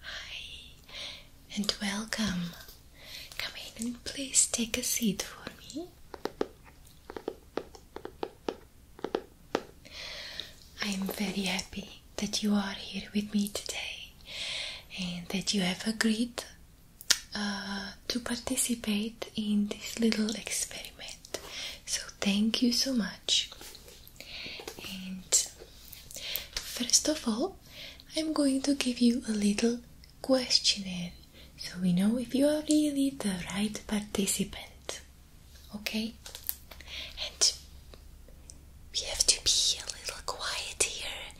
Hi, and welcome. Come in and please take a seat for me. I'm very happy that you are here with me today and that you have agreed uh, to participate in this little experiment. So, thank you so much. And first of all, I'm going to give you a little questionnaire so we know if you are really the right participant. Okay? And we have to be a little quiet here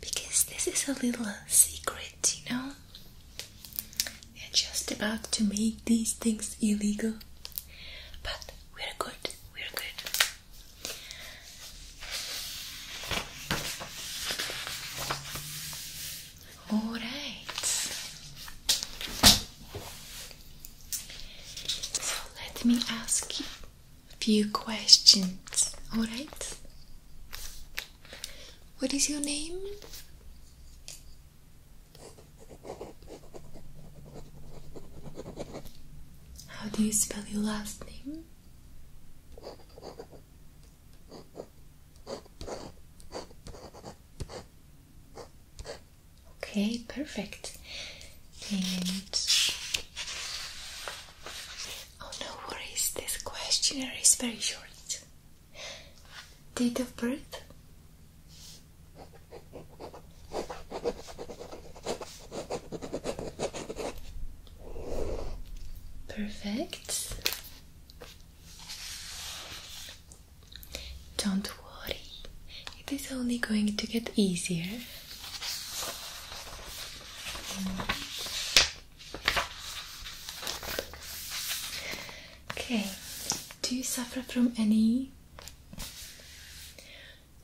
because this is a little secret, you know? They're just about to make these things illegal. But we're good we're good. All right. So let me ask you a few questions. All right. What is your name? How do you spell your last name? Okay, perfect. And oh, no worries, this questionnaire is very short. Date of birth? Perfect. Don't worry, it is only going to get easier. Okay, do you suffer from any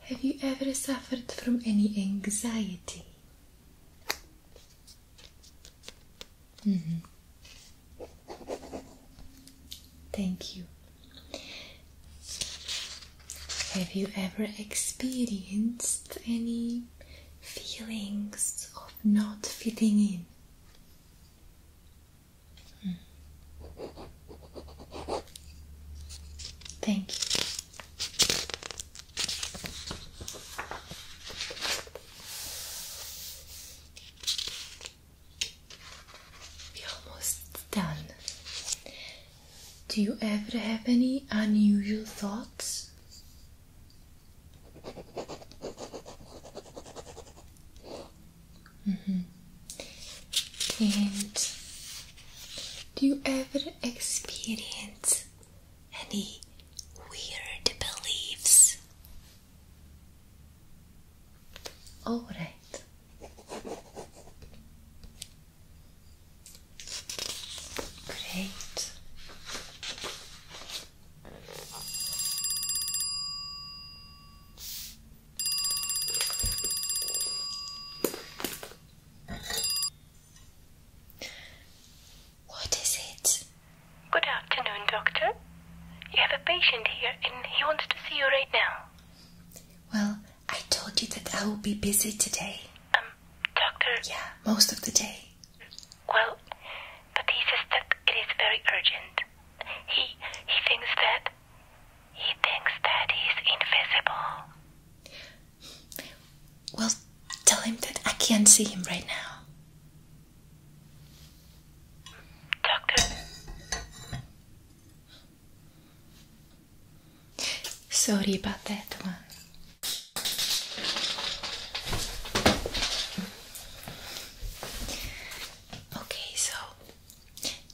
have you ever suffered from any anxiety? Mm-hmm. Thank you. Have you ever experienced any feelings of not fitting in? Hmm. Thank you. We're almost done. Do you ever have any unusual thoughts? Mm -hmm. And do you ever experience any weird beliefs? All right. Great. What is it? Good afternoon, Doctor. You have a patient here and he wants to see you right now. Well, I told you that I will be busy today. Um, Doctor? Yeah, most of the day. Well, but he says that it is very urgent. He he thinks that he thinks that he's invisible. Well, tell him that I can't see him right now. Doctor. Sorry about that one. Okay, so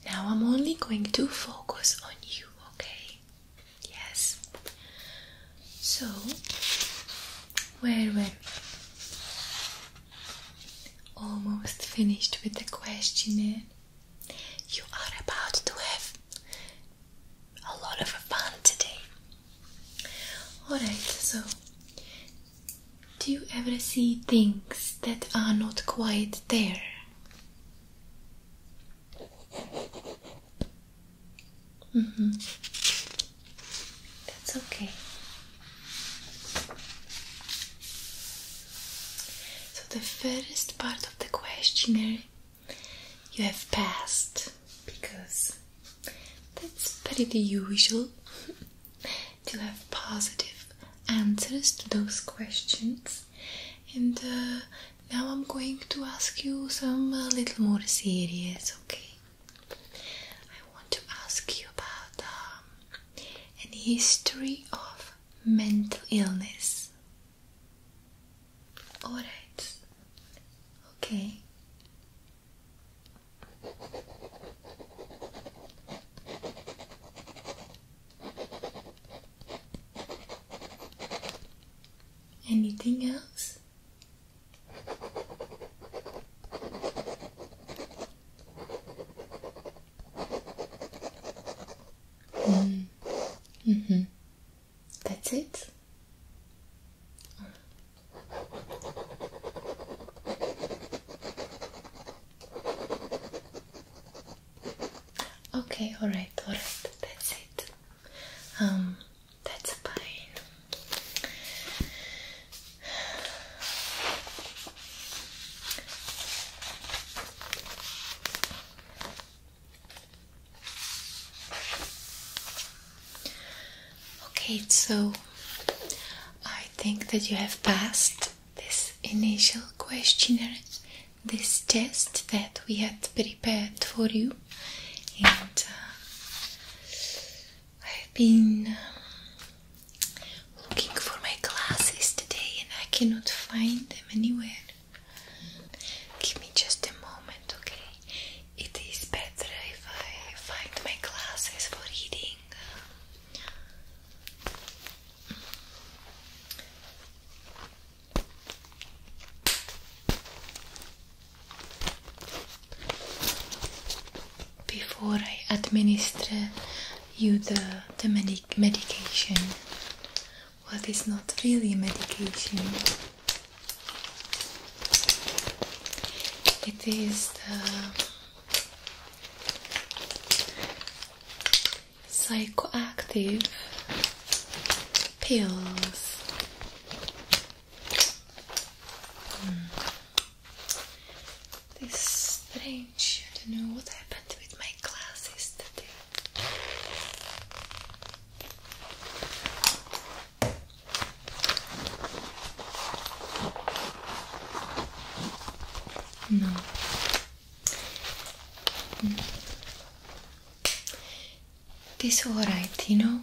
now I'm only going to focus on you, okay? Yes. So, where were Almost finished with the questionnaire. You are about to have a lot of fun today. Alright, so do you ever see things that are not quite there? Mm-hmm. That's okay. So the first part of the questionnaire you have passed because that's pretty usual to have positive answers to those questions and uh, now I'm going to ask you some a uh, little more serious, okay? I want to ask you about the um, history of mental illness. Alright, okay. Anything else? Mm. Mm hmm That's it. Okay, alright, alright, that's it. Um, that's fine. Okay, so I think that you have passed this initial questionnaire, this test that we had prepared for you, and uh, I've been um, looking for my glasses today and I cannot find them anywhere. Give me just a moment, okay? It is better if I find my glasses for reading. Before I administer you the, the medic medication, what is not really a medication, it is the psychoactive pills. Hmm. This strange. I don't know what happened with my glasses today. No, this alright, you know.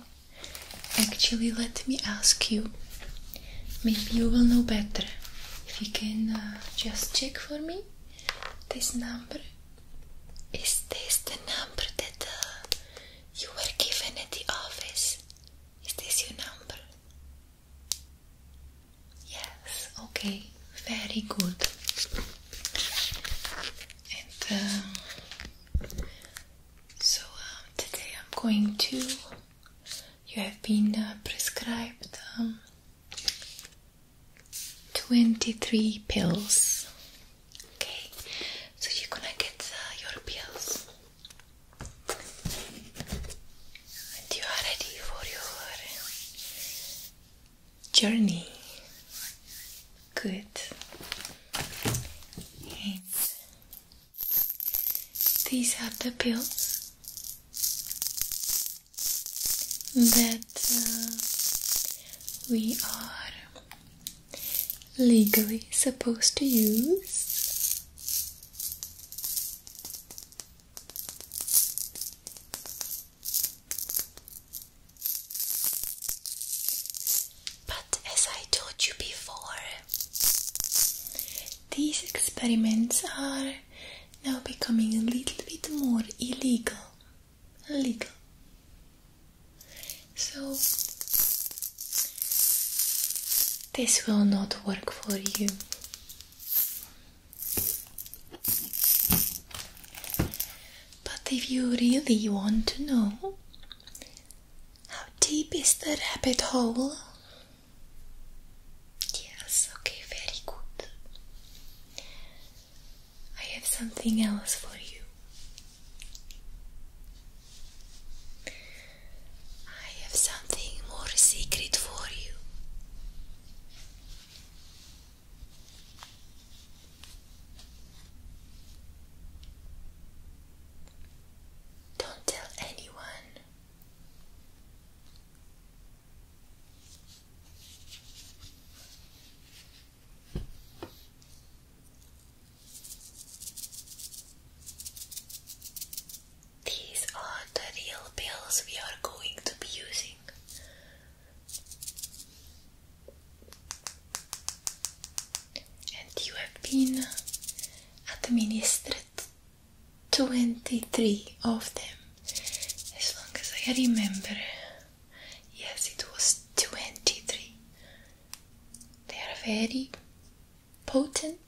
Actually, let me ask you. Maybe you will know better if you can uh, just check for me this number. Is this the number that uh, you were given at the office? Is this your number? Yes, okay, very good. And uh, so um, today I'm going to. You have been uh, prescribed um, 23 pills. Okay, so you're gonna get uh, your pills and you are ready for your journey. Good. these are the pills that uh, we are legally supposed to use. But as I told you before, these experiments are now becoming a little bit more illegal. Illegal. So, this will not work for you. But if you really want to know, how deep is the rabbit hole? Yes, okay, very good. I have something else for you. I have something more secret for you. Don't tell anyone. These are the real pills we are going to be using. And you have been administered 23 of them, as long as I remember. Yes, it was 23. They are very potent.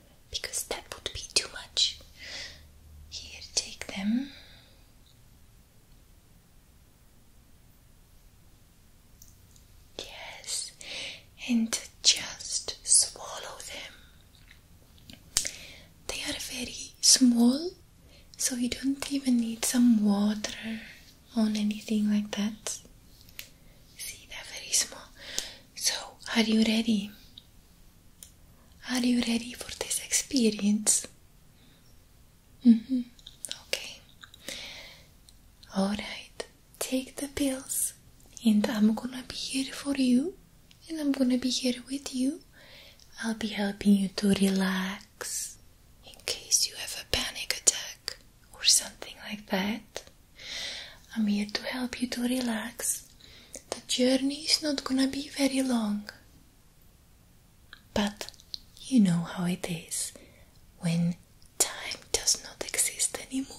because that would be too much. Here, take them. Yes, and just swallow them. They are very small, so you don't even need some water or anything like that. See, they're very small. So, are you ready? Are you ready for this experience? Mm-hmm. Okay. Alright, take the pills, and I'm gonna be here for you, and I'm gonna be here with you. I'll be helping you to relax in case you have a panic attack or something like that. I'm here to help you to relax. The journey is not gonna be very long. But you know how it is when time does not exist anymore.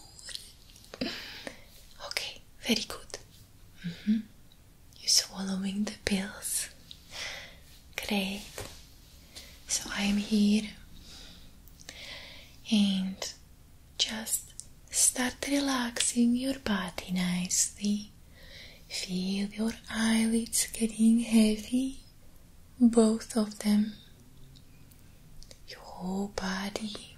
okay, very good. Mm-hmm. You're swallowing the pills. Great. So I'm here and just start relaxing your body nicely. Feel your eyelids getting heavy, both of them. Your whole body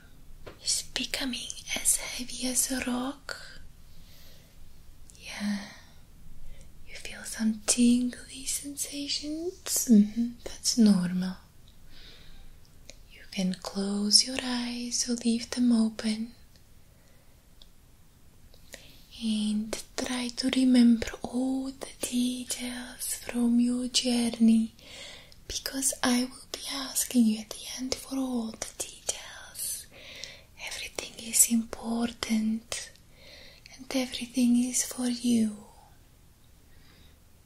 is becoming as heavy as a rock. Yeah, you feel some tingly sensations. Mm-hmm. That's normal. You can close your eyes or leave them open and try to remember all the details from your journey because I will be asking you at the end for all the details. Everything is important and everything is for you.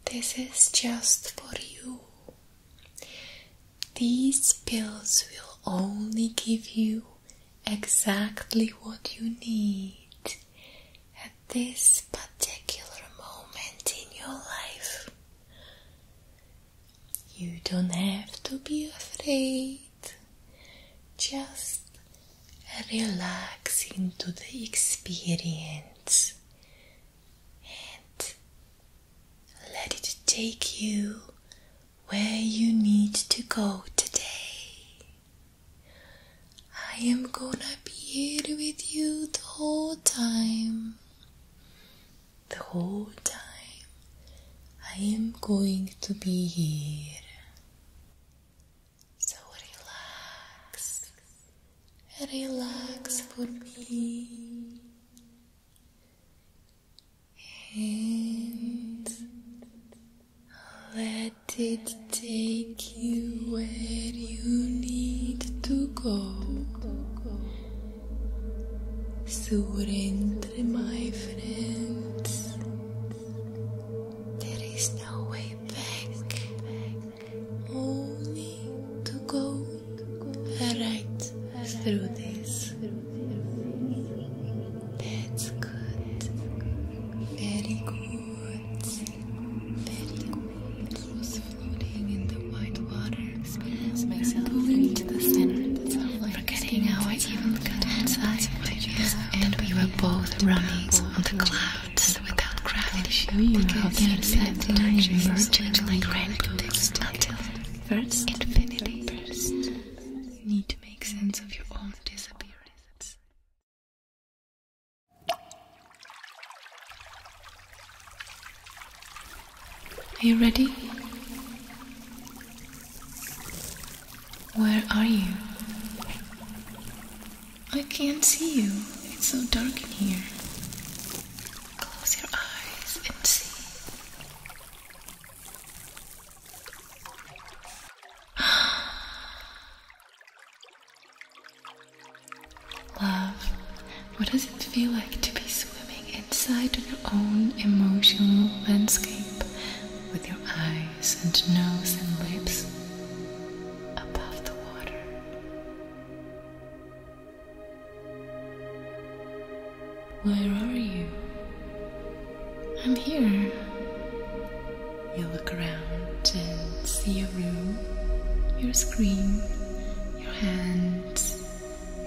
This is just for you. These pills will only give you exactly what you need at this particular moment in your life. You don't have to be afraid. Just relax into the experience and let it take you where you need to go today. I am gonna be here with you the whole time. The whole time I am going to be here. So relax, relax for me and let it take you where you need to go. Surrender, my friends. There is no way back only to go right through this. That's good. Very good. Very good. It was floating in the white water. Experience myself pulling to the center. Forgetting our I even got outside, and we were both running on the clouds without gravity because insects digest change like rainbow text until first infinity. First, you need to make sense of your own disappearance. Are you ready? Where are you? I can't see you. It's so dark in here. Close your eyes and see. Love, what does it feel like to be swimming inside your own emotional landscape with your eyes and nose and lips above the water? Where are you? I'm here. You look around and see your room, your screen, your hands,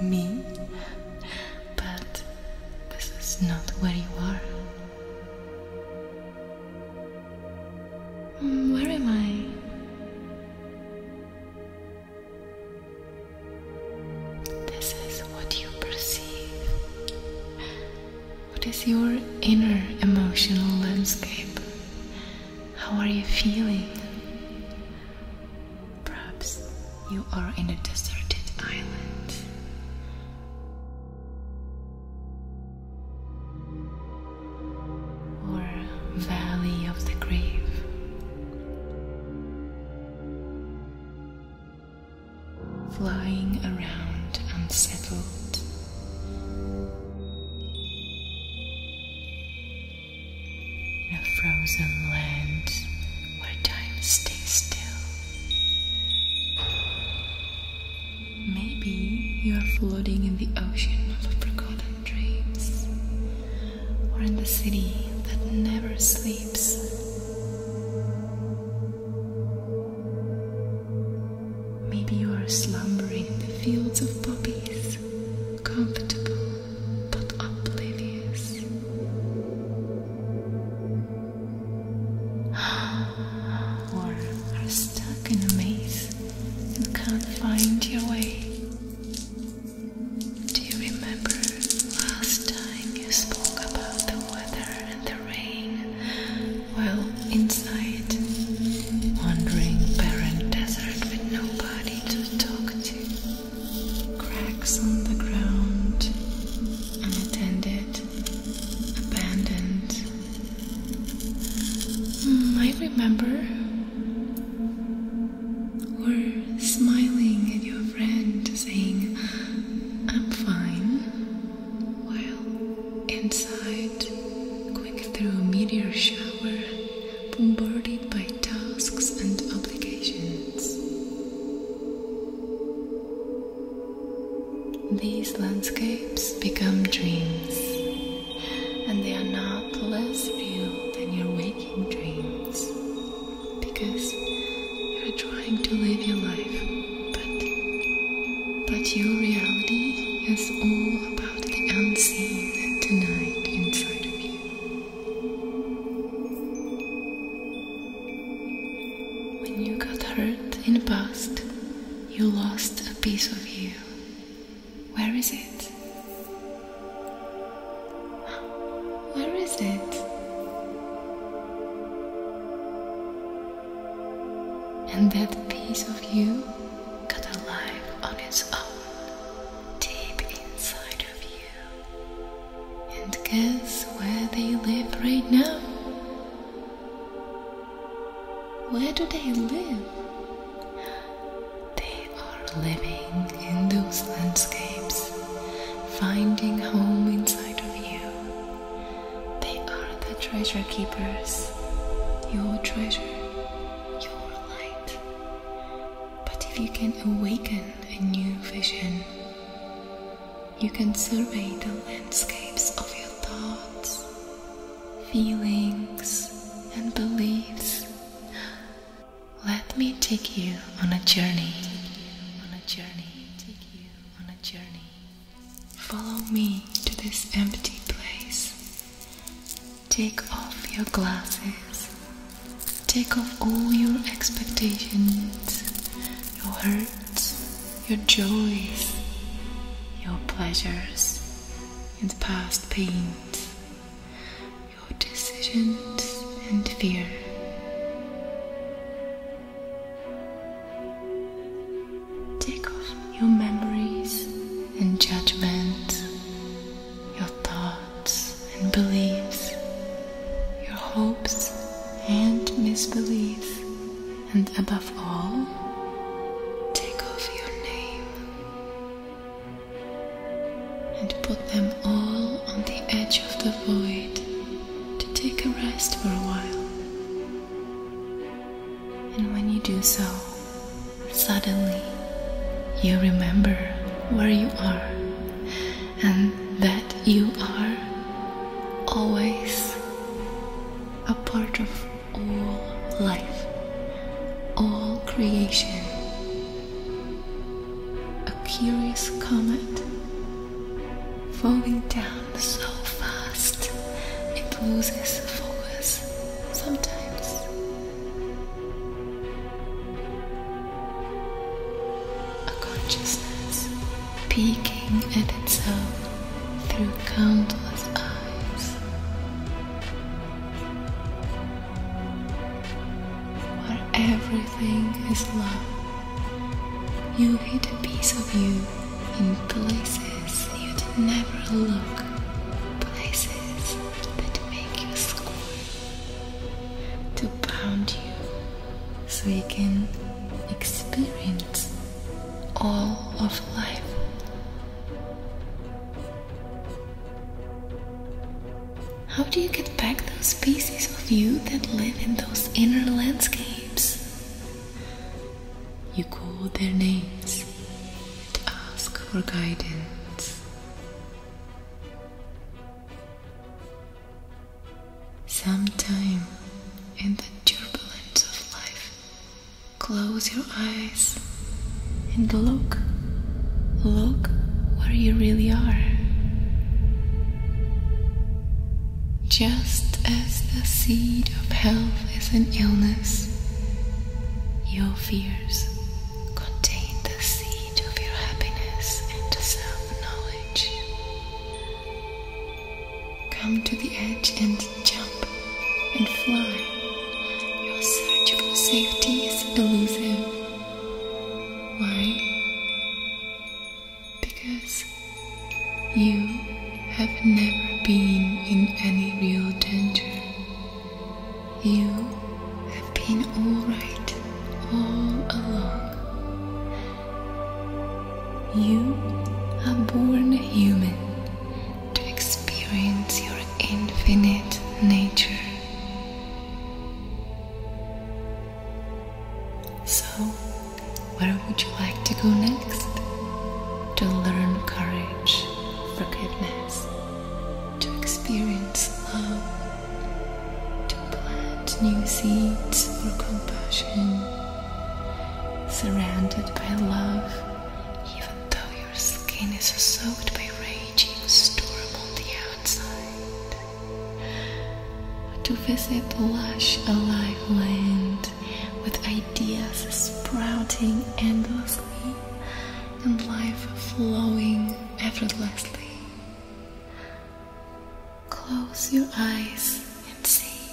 me. But this is not where you are. Um, where am I? This is what you perceive. What is your inner emotional landscape? How are you feeling? Perhaps you are in a deserted island or valley of the grave. Flying around unsettled. In a frozen land where time stays still. Maybe you are floating in the ocean of forgotten dreams, or in the city that never sleeps. Maybe you are slumbering in the fields of poppies, comfortable but oblivious. or are stuck in a maze you can't find your way. Do you remember last time you spoke about the weather and the rain? Well, inside, wandering barren desert with nobody to talk to, cracks on the ground, unattended, abandoned, Hmm, I remember. Or smiling at your friend, saying, I'm fine, while inside, going through a meteor shower, bombarded by tasks and obligations. These landscapes become dreams and they are not less real than your waking dreams because you're trying to live your life but but your reality is all about the unseen and tonight inside of you when you got hurt in the past you lost a piece of you where is it? Where is it? And that piece of you got alive on its own, deep inside of you. And guess where they live right now? Where do they live? They are living in those landscapes, finding home inside of you. They are the treasure keepers, your treasure, your light. But if you can awaken a new vision, you can survey the landscapes of your thoughts, feelings, and beliefs. Let me take you on a journey. On a journey. Take you on a journey. Follow me to this empty place. Take off your glasses. Take off all your expectations, your hurts, your joys, your pleasures, and past pains, your decisions and fear. Take off your memories and judgments, your thoughts and beliefs, your hopes and misbeliefs and above all, take off your name and put them all on the edge of the void to take a rest for a while. And when you do so, suddenly you remember where you are and that you are always a part of all life, all creation. A curious comet falling down so fast it loses focus sometimes. A consciousness peeking at itself through countless eyes. Where everything is love, you hid a piece of you in places you'd never look, places that make you squirm, to pound you so you can experience all of life. How do you get back those pieces of you that live in those inner landscapes? You call their names and ask for guidance. Sometime in the turbulence of life, Close your eyes and look. Look where you really are. Just as the seed of health is an illness, your fears contain the seed of your happiness and self knowledge. Come to the edge and jump and fly. Your search for safety is elusive. Why? Because you have never been in any real danger. You have been alright all along. You are born human to experience your infinite nature. So, where would you like to go next? To learn courage, forgiveness, to experience love, to plant new seeds for compassion surrounded by love, even though your skin is soaked by raging storm on the outside. To visit lush, alive land with ideas sprouting endlessly and life flowing effortlessly. Close your eyes and see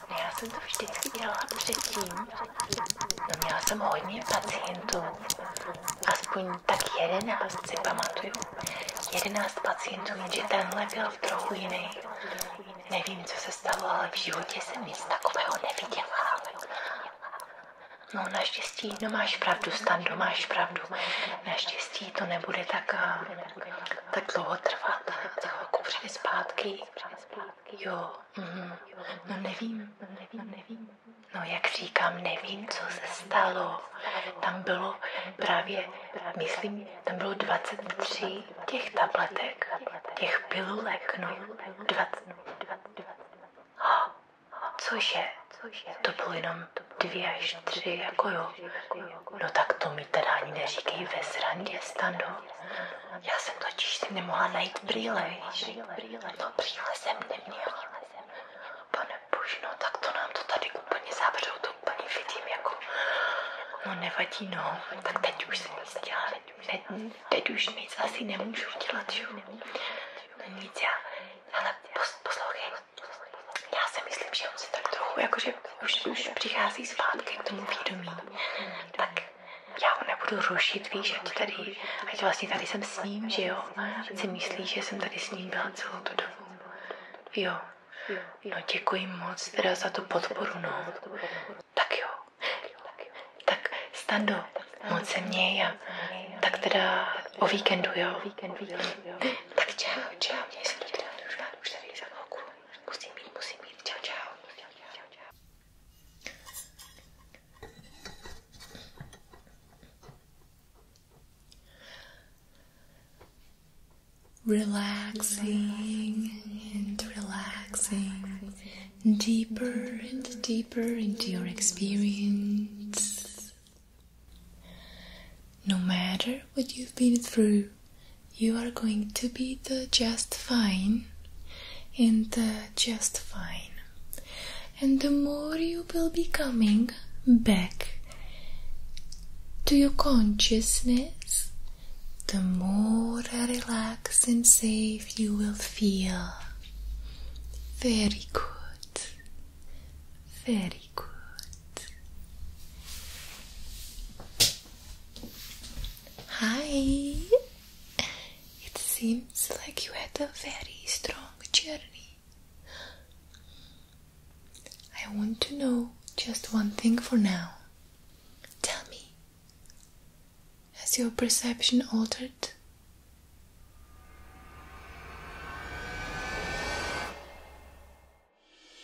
Ne, Já jsem to vždycky dělala předtím. No měla jsem hodně pacientů. Aspoň tak jedenáct si pamatuju. Jedenáct pacientů, jenže tenhle byl trochu jiný. Nevím, co se stalo, ale v životě jsem nic takového neviděla. No naštěstí, no máš pravdu, Stando, máš pravdu. Naštěstí to nebude tak, eh, tak dlouho trvat. Za chvilku přijde zpátky. Jo, Mhm. No nevím, no nevím, nevím. No jak říkám, nevím, co se stalo. Tam bylo právě, myslím, tam bylo 23 těch tabletek, těch pilulek, no. 20, 20, Cože? To bylo jenom dvě až tři, jako jo. No tak to mi teda ani neříkej ve srandě, stando. Já jsem totiž si nemohla najít brýle, víš? Brýle, no brýle jsem neměla. Pane bože, no tak to nám to tady úplně zavřou, to úplně vidím jako... No nevadí, no. Tak teď už jsem nic dělat. Ne, teď už nic asi nemůžu dělat, že jo? No nic, já... Ale pos, poslouchej, já si myslím, že on se tak trochu, jakože už, už přichází zpátky k tomu vědomí. Tak já ho nebudu rušit, víš, ať tady, ať vlastně tady jsem s ním, že jo. Ať si myslí, že jsem tady s ním byla celou tu dobu. Jo. No děkuji moc teda za tu podporu, no. Tak jo. Tak stando, moc se měj a tak teda o víkendu, jo. Tak čau, čau, Musím mít, musím mít. Čau, čau. Relaxing and relaxing deeper and deeper into your experience. No matter what you've been through, you are going to be the just fine and the just fine. And the more you will be coming back to your consciousness, the more relaxed and safe you will feel. Very good. Very good. Hi! It seems like you had a very strong journey. I want to know just one thing for now. Tell me, has your perception altered?